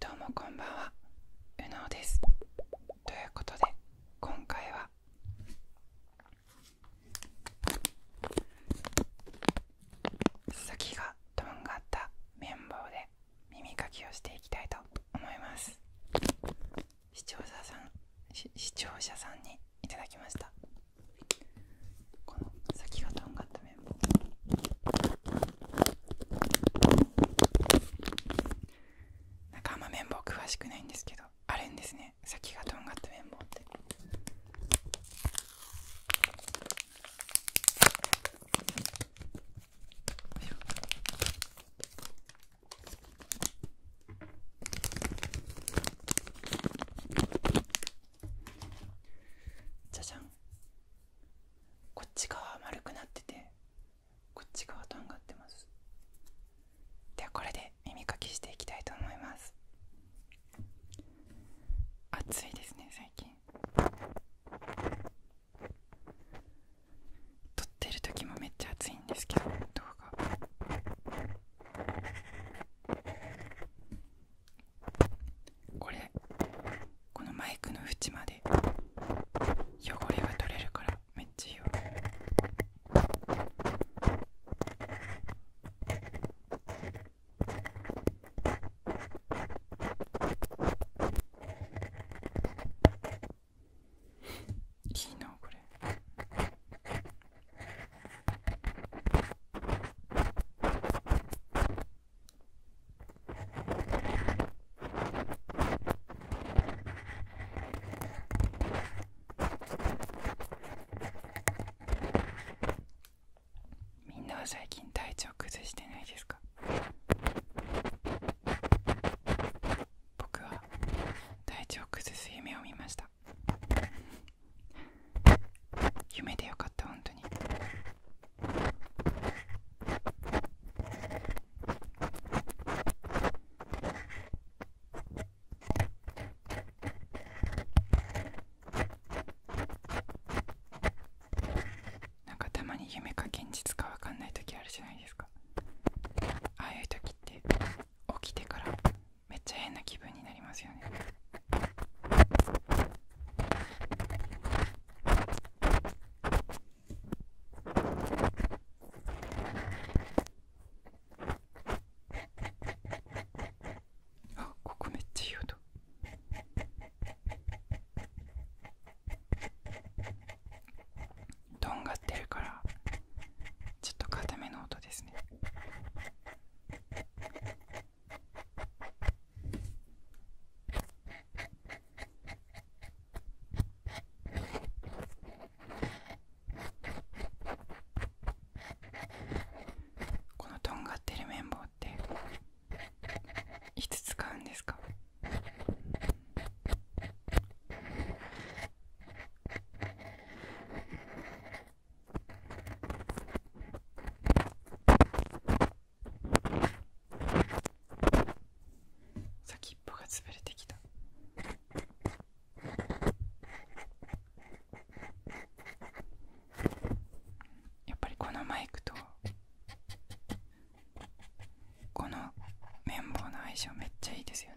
どうもこんばんは、うのうです。ということで、今回は先がとんがった綿棒で耳かきをしていきたいと思います。視聴者さん、視聴者さんにいただきました。この先がとんがった面もなんかあんま綿棒詳しくないんですけどあるんですね先がとんがった綿棒ってじゃじゃんこっち側は丸くなっててこっち側とんがってますではこれで耳かきしていきたいと思います暑いですね最近撮ってる時もめっちゃ暑いんですけど動画これこのマイクの縁まで汚れが取れるからめっちゃいいよいいなこれ。みんなは最近体調崩してないですか僕は体調崩す夢を見ました夢でよかった本当になんかたまに夢か現実かわかんない時あるじゃないですかああいう時って起きてからめっちゃ変な気分になりますよねあここめっちゃいい音とんがってるからちょっと固めの音ですねこのとんがってる綿棒っていつ使うんですか先っぽが潰れてきたやっぱりこのマイクとこの綿棒の相性めっちゃいいですよね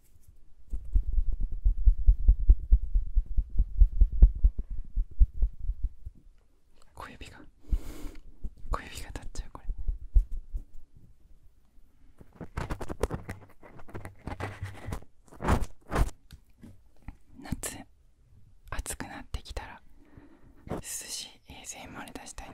小指が小指が立っちゃうこれ。夏暑くなってきたら涼しい a 生ま r 出したいな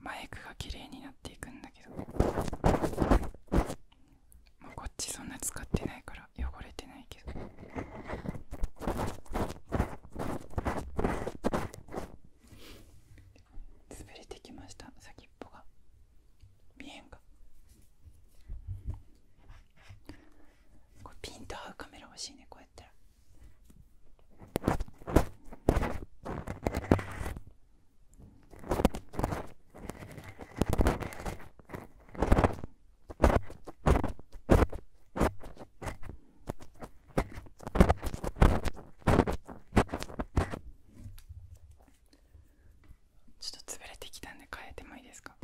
マイクが綺麗になっていくんだけどまあこっちそんな使ってないから汚れてないけど潰れてきました先っぽが見えんピンと合カメラ欲しいこうたらちょっと潰れてきたんで変えてもいいですか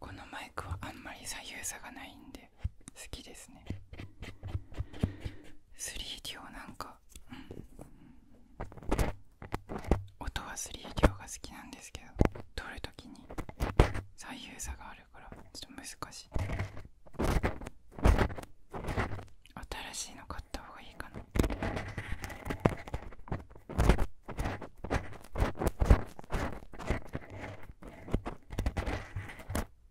このマイクはあんまり左右差がないんでて好きですね 3D なんか、音は 3D が好きなんですけど撮る時に左右差があるからちょっと難しい新しいの買った方がいいかな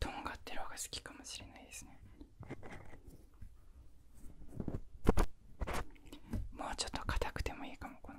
とんがってる方が好きかもしれないですねもうちょっと硬くてもいいかもこの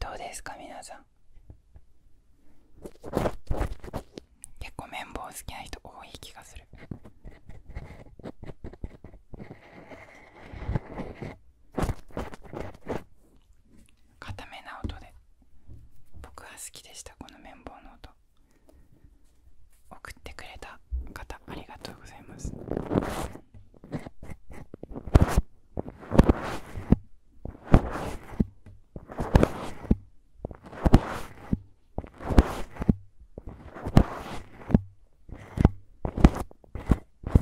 どうですか皆さん結構綿棒好きな人多い気がする固めな音で僕は好きでしたこの綿棒の音送ってくれた方ありがとうございますという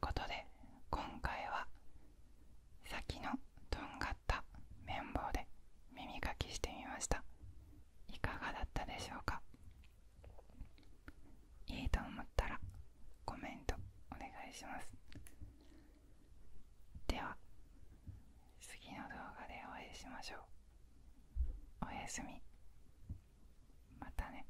ことで今回は先のとんがった綿棒で耳かきしてみましたいかがだったでしょうかいいと思ったらコメントお願いしますでは次の動画でお会いしましょうおやすみまたね